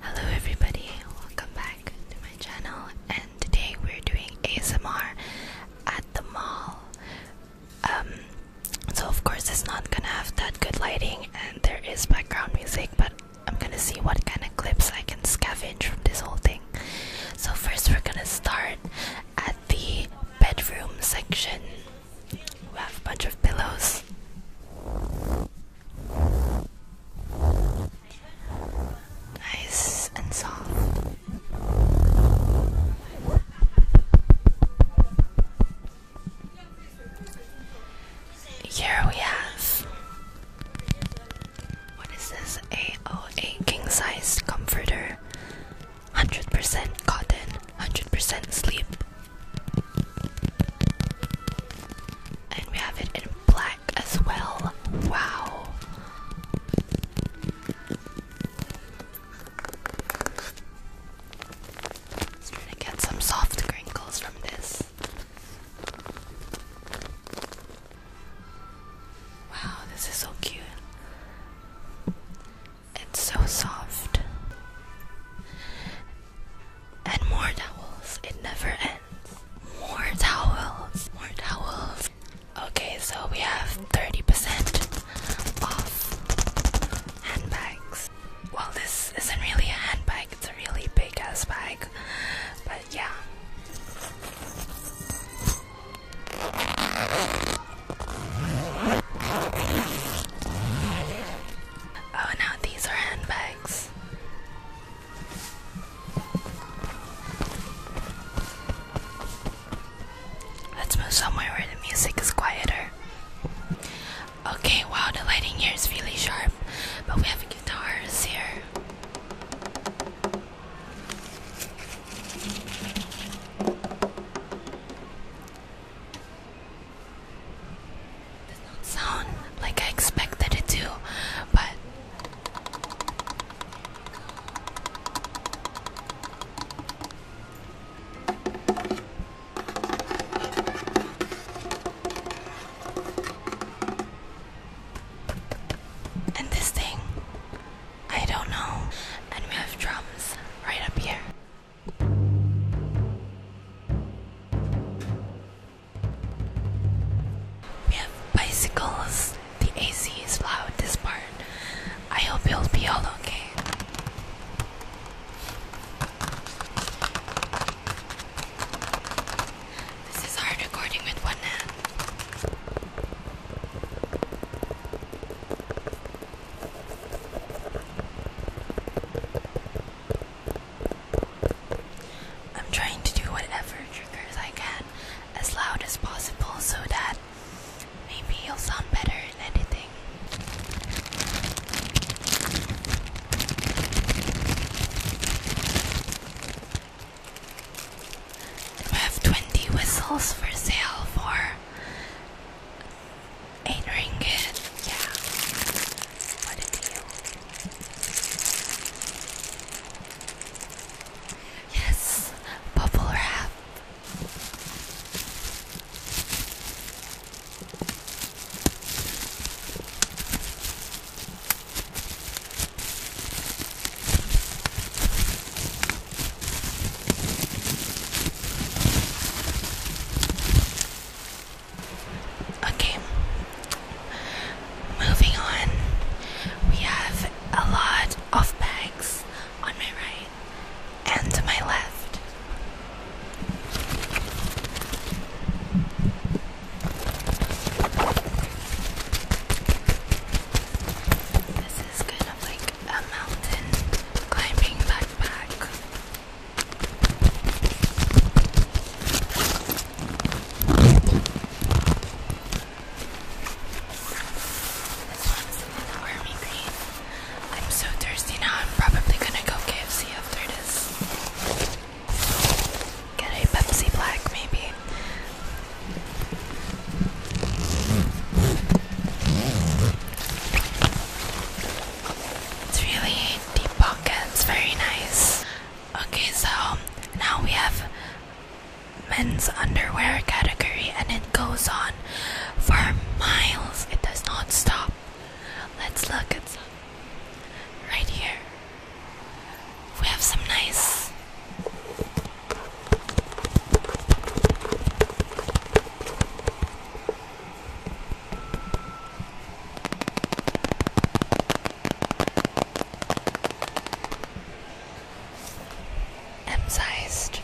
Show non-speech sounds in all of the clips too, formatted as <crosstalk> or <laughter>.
Hello everybody, welcome back to my channel and today we're doing ASMR at the mall. Um, so of course it's not gonna have that good lighting and there is background music but I'm gonna see what kind of clips I can scavenge from this whole thing. So first we're gonna start at the bedroom section. We have a bunch of pillows. Nice and soft. Here we have what is this? a king size comforter. 100% cotton, 100% sleep, and we have it in black as well. Wow. Let's try to get some soft crinkles from this. Wow, this is so cute. It's so soft. And more towels. It never ends. More towels. More towels. Okay, so we have 30% off handbags. Well, this isn't really a handbag, it's a really big ass bag. But yeah. Oh, no, these are handbags. Let's move somewhere where the music is quieter. Okay, wow, the lighting here is really sharp, but we have guitars here sound like I expected it to, but and this thing, I don't know. And we have drums right up here. We have bicycles. The AC is loud this part. I hope you'll be all okay. This is hard recording with one hand. I'm trying to do whatever triggers I can as loud as possible so that maybe you'll sound better in anything. We have 20 whistles for sale for Eight ringgit. Yeah. What a deal. Yes, bubble wrap. Okay, moving on. We have a lot of bags on my right and to my left. This is kind of like a mountain climbing backpack. This one's an army green. I'm so thirsty now, I'm probably gonna go KFC after this. Get a Pepsi Black, maybe. It's really deep pockets, very nice. Okay, so now we have men's underwear category and it goes on for miles. It does not stop. Let's look at some right here. We have some nice M-sized.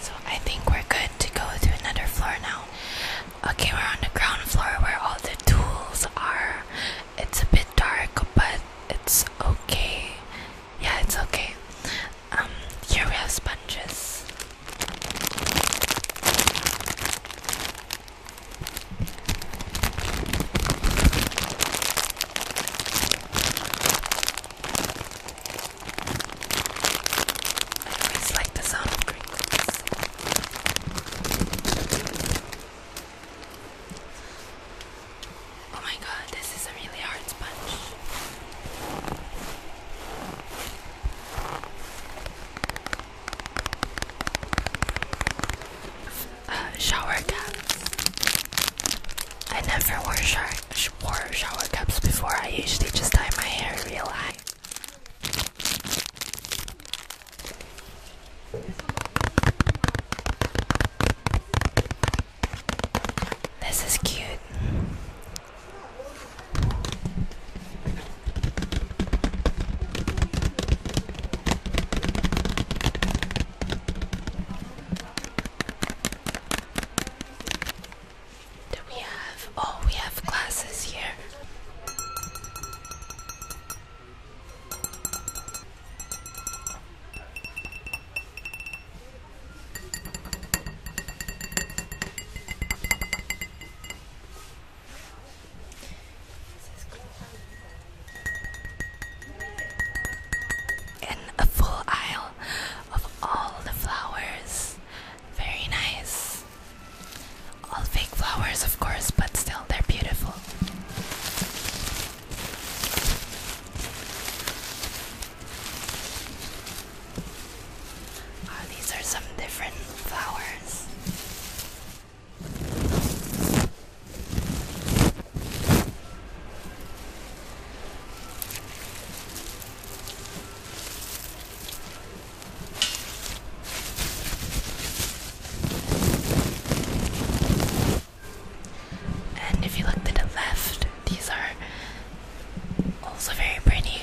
So I think we're good to go to another floor now. Okay, we're on the ground floor where all the tools are. It's a bit dark, but it's okay. Yeah, it's okay. Um, here we have sponges. I like the sound of crinkles. Oh my god, this is a really hard sponge. Uh, shower caps. I never wore, wore shower caps before. I usually just tie my hair real high. This is cute. Do we have? Oh, we have glasses here. And a full aisle of all the flowers. Very nice. All fake flowers, of course, but still, they're beautiful. Oh, these are some different flowers. And if you look to the left, these are also very pretty.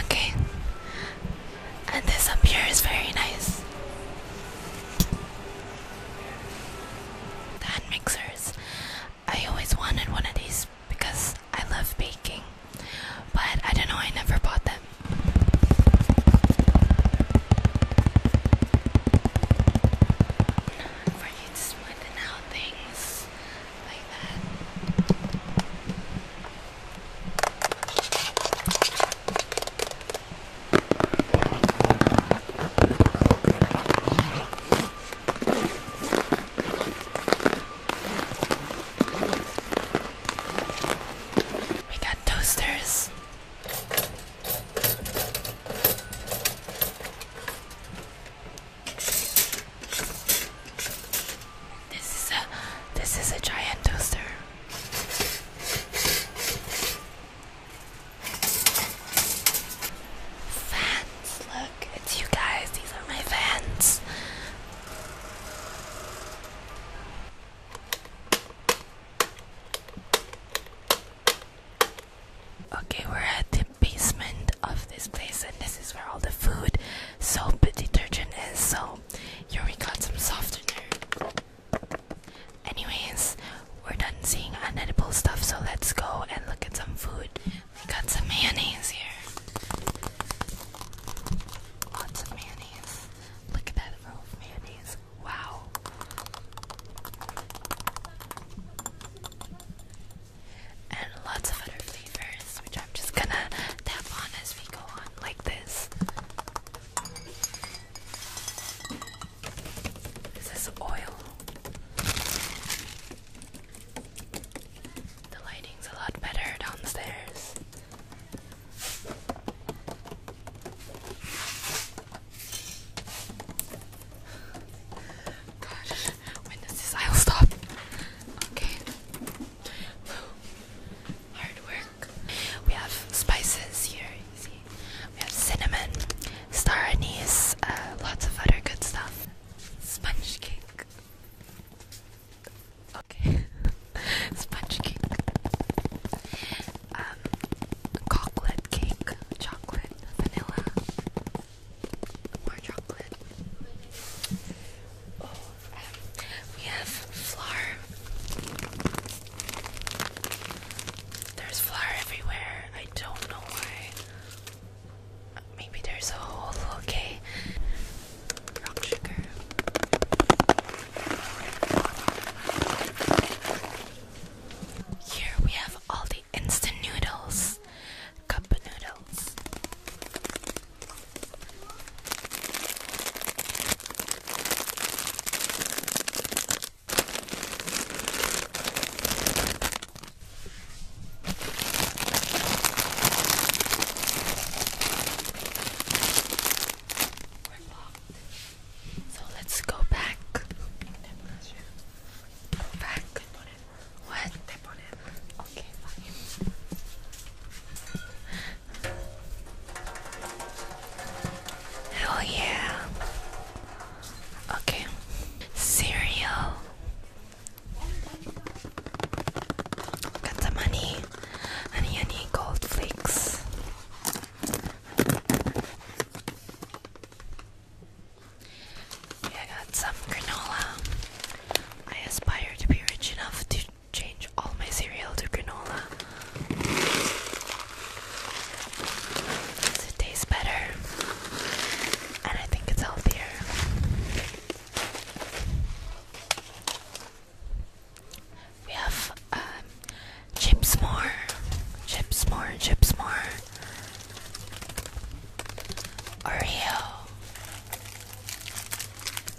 Okay, and this up here is very nice. The mixers. I always wanted one of these because I love baking, but I don't know, I never bought them. For you to smoothen out things like that. We got toasters. This is a this is a giant toaster. Fans, look, it's you guys. These are my fans. Okay, we're at the basement of this place, and this is where all the food, soap, detergent is. So, here we got some softener. Anyways, we're done seeing unedible stuff, so let's go and look at some food. We got some mayonnaise here. Lots of mayonnaise. Look at that row of mayonnaise. Wow. And lots of other flavors, which I'm just gonna tap on as we go on, like this. This is oil. The lighting's a lot better downstairs. Gosh, when does this aisle stop? Okay. Hard work. We have spices here, We have cinnamon, star anise, uh, lots of other good stuff. Sponge cake. Okay. <laughs> Sponge cake. Um, chocolate cake. Chocolate, vanilla. More chocolate. Oh we have flour. There's flour everywhere. I don't know why. Maybe there's a whole okay. Rock sugar. Here we have all the instant noodles, cup noodles. We're locked. So let's go back. Go back. What? Okay, fine. Oh yeah. Okay. Cereal. Got some honey. Honey, honey, gold flakes. I got some granola. I aspire to be rich enough to change all my cereal to granola. It tastes better, and I think it's healthier. We have um, chips more, chips more, chips more. Oreo,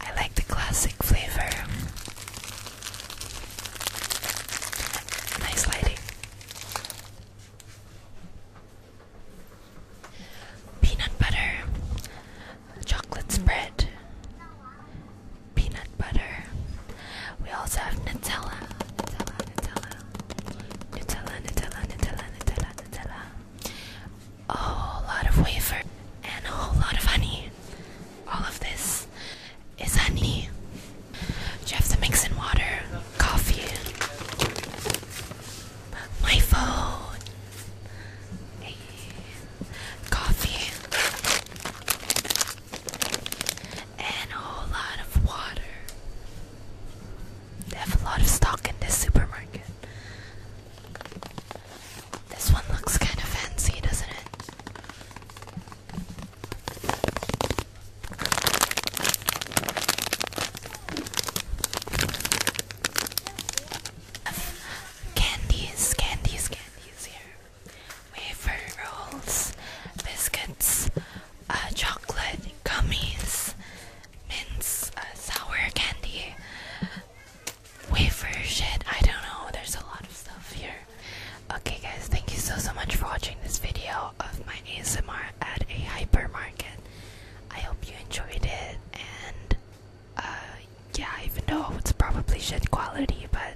I like the classic flavor. Nice lighting. Peanut butter, chocolate spread, peanut butter. We also have Nutella, Nutella, Nutella, Nutella, Nutella, Nutella, Nutella, Nutella a whole lot of wafer and a whole lot of honey. All of this is honey. You have to mix in water, coffee, my phone, coffee, and a whole lot of water. They have a lot of stock in this supermarket. This one looks kind of fancy, doesn't it? Candies, candies, candies here. Wafer biscuits, uh, chocolate, gummies, mints, uh, sour candy, wafer shit. I don't know. There's a lot of stuff here. Okay, guys, thank you so so much for watching this video of my ASMR at a hypermarket. I hope you enjoyed it, and uh, yeah, even know it's probably shit quality, but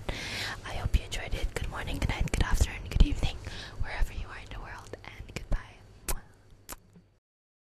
I hope you enjoyed it. Good morning, good night, good afternoon, good evening, wherever you are in the world, and goodbye.